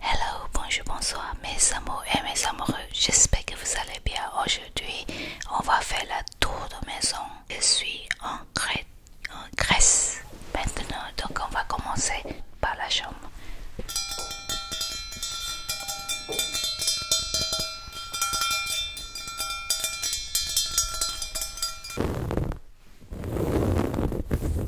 Hello, bonjour, bonsoir mes amours et mes amoureux, j'espère que vous allez bien. Aujourd'hui, on va faire la tour de maison. Je suis en, Grèce maintenant, donc on va commencer par la chambre.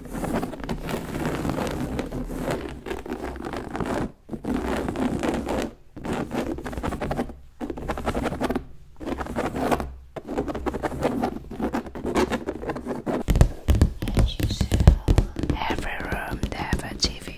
As usual, every room they have a TV.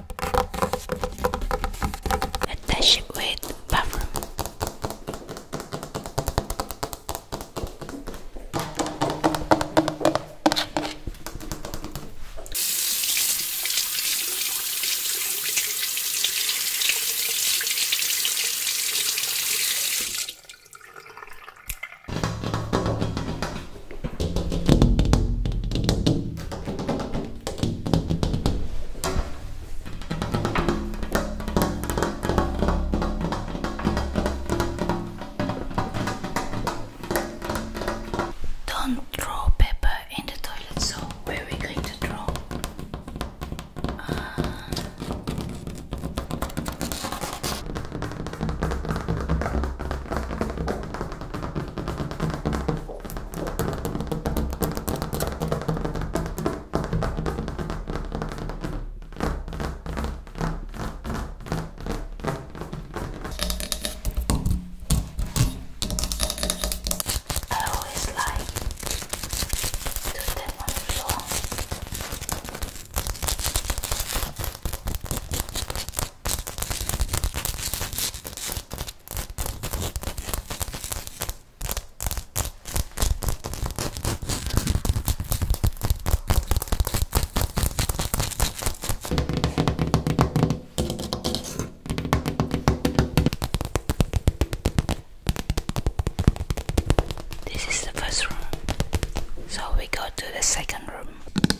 attach it with buffer. Don't throw pepper in the toilet, so where are we going to throw? I always like to step on the floor. This is the first room, so we go to the second room.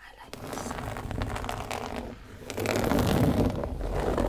I like this. Three, of course.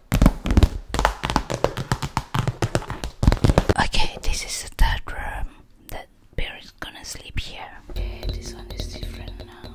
Okay, this is the third room. That bear is gonna sleep here. Okay, this one is different now.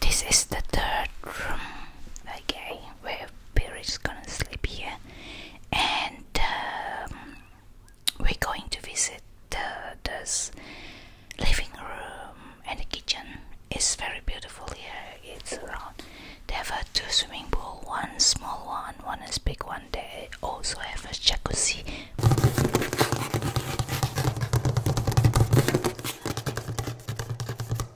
This is the third room. Okay where Perry's gonna sleep here, and um, we're going to visit the, living room and the kitchen. It's very beautiful here. It's around. They have a two swimming pool, one small one, one is big one. They also have a jacuzzi.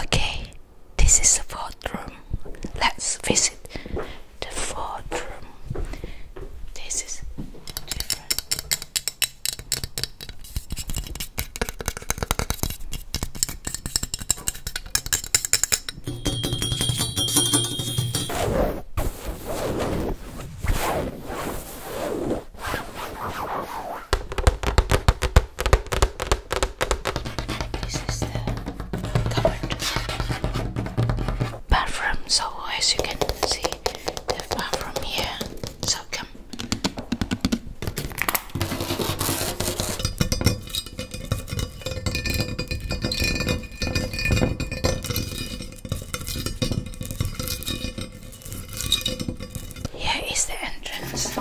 Okay, this is the fourth room. Let's visit the fourth room. This is different. This bathroom. So as you can see, the bathroom here. So here is the entrance.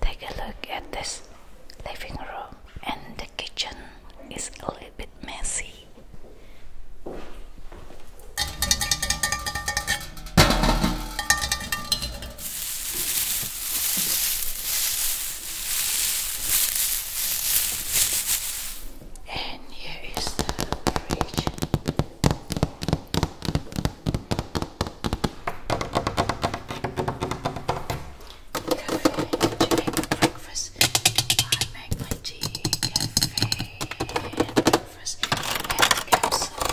Take a look at this living room, and the kitchen is a little bit messy. And here is the bridge cafe to make breakfast. I make my tea, cafe, and breakfast, and capsule.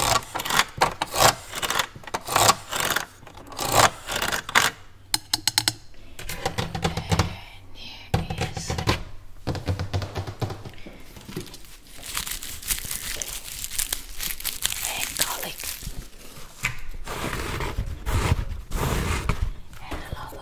And here is and garlic and a lot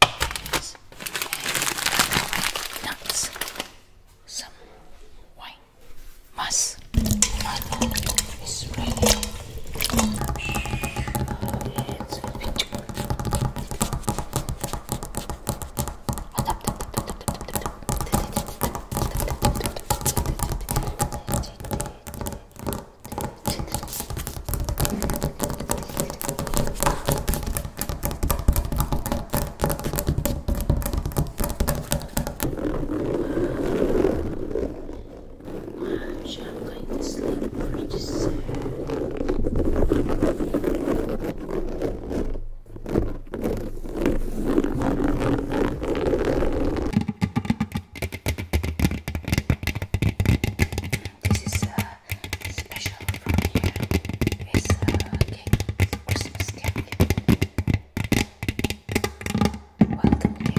nuts, nuts, some wine. Must Actually, i going to sleep pretty soon. This is uh special from here is a uh, cake, Christmas cake, welcome cake. This one would be great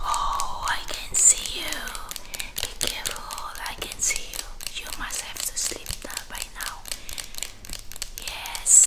Oh, I can see you. Be careful, I can see you. You must have to sleep now by now. Yes.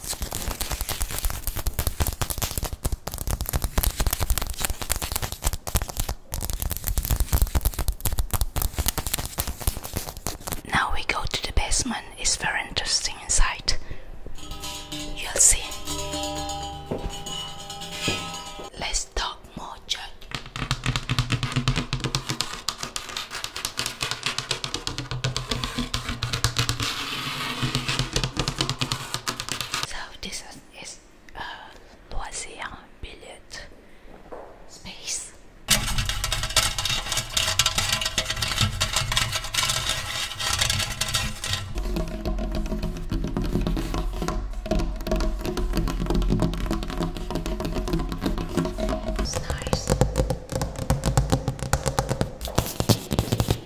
Now we go to the basement, it's very interesting inside. You'll see. Let's talk more, Jack. So this is a uh, loisir space. It's nice.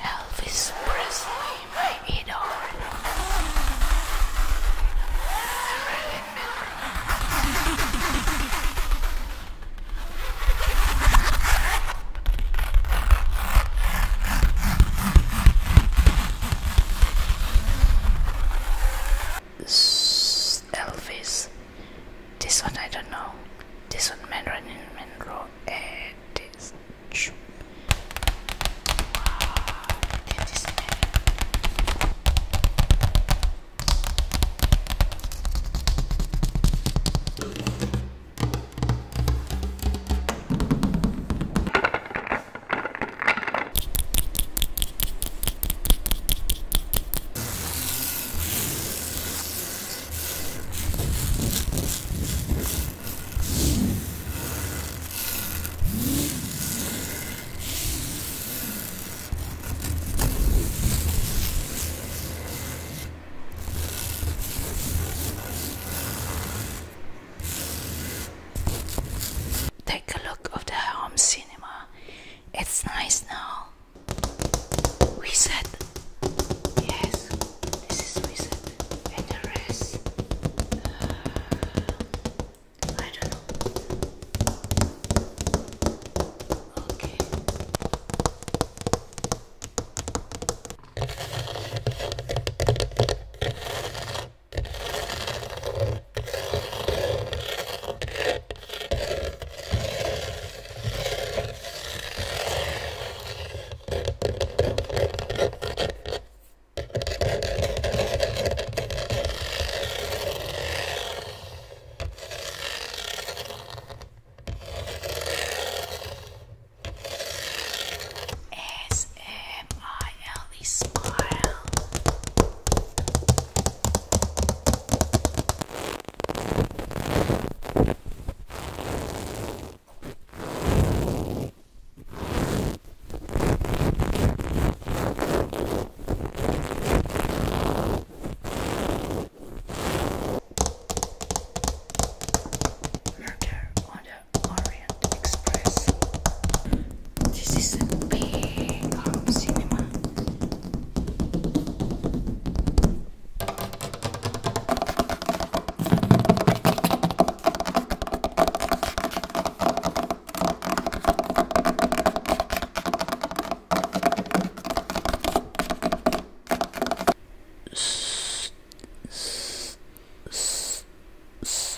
Elvis Presley, my idol. Elvis. This one I don't know. This one Mandarin Monroe eh, and this. Take a look of the home cinema it's nice now. Reset. Yes, this is reset. And the rest. Uh, I don't know. Okay. S M I L E smile. Merger on the Orient Express. This is a big home cinema.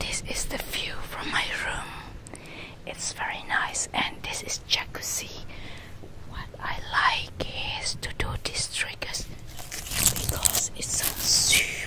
This is the view from my room. It's very nice and this is jacuzzi. What I like is to do these triggers because it's sounds super.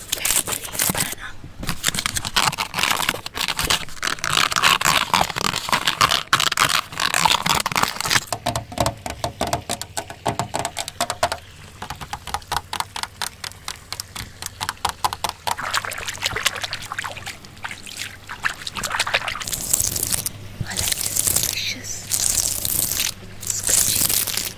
Very pleased, para delicious scratchy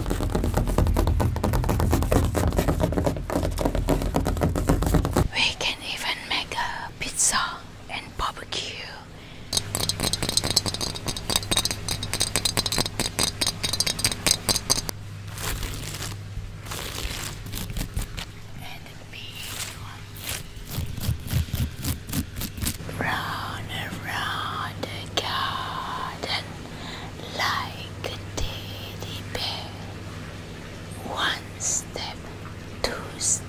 We can even make a pizza and barbecue. And a big around the garden like a teddy bear. One step, two step.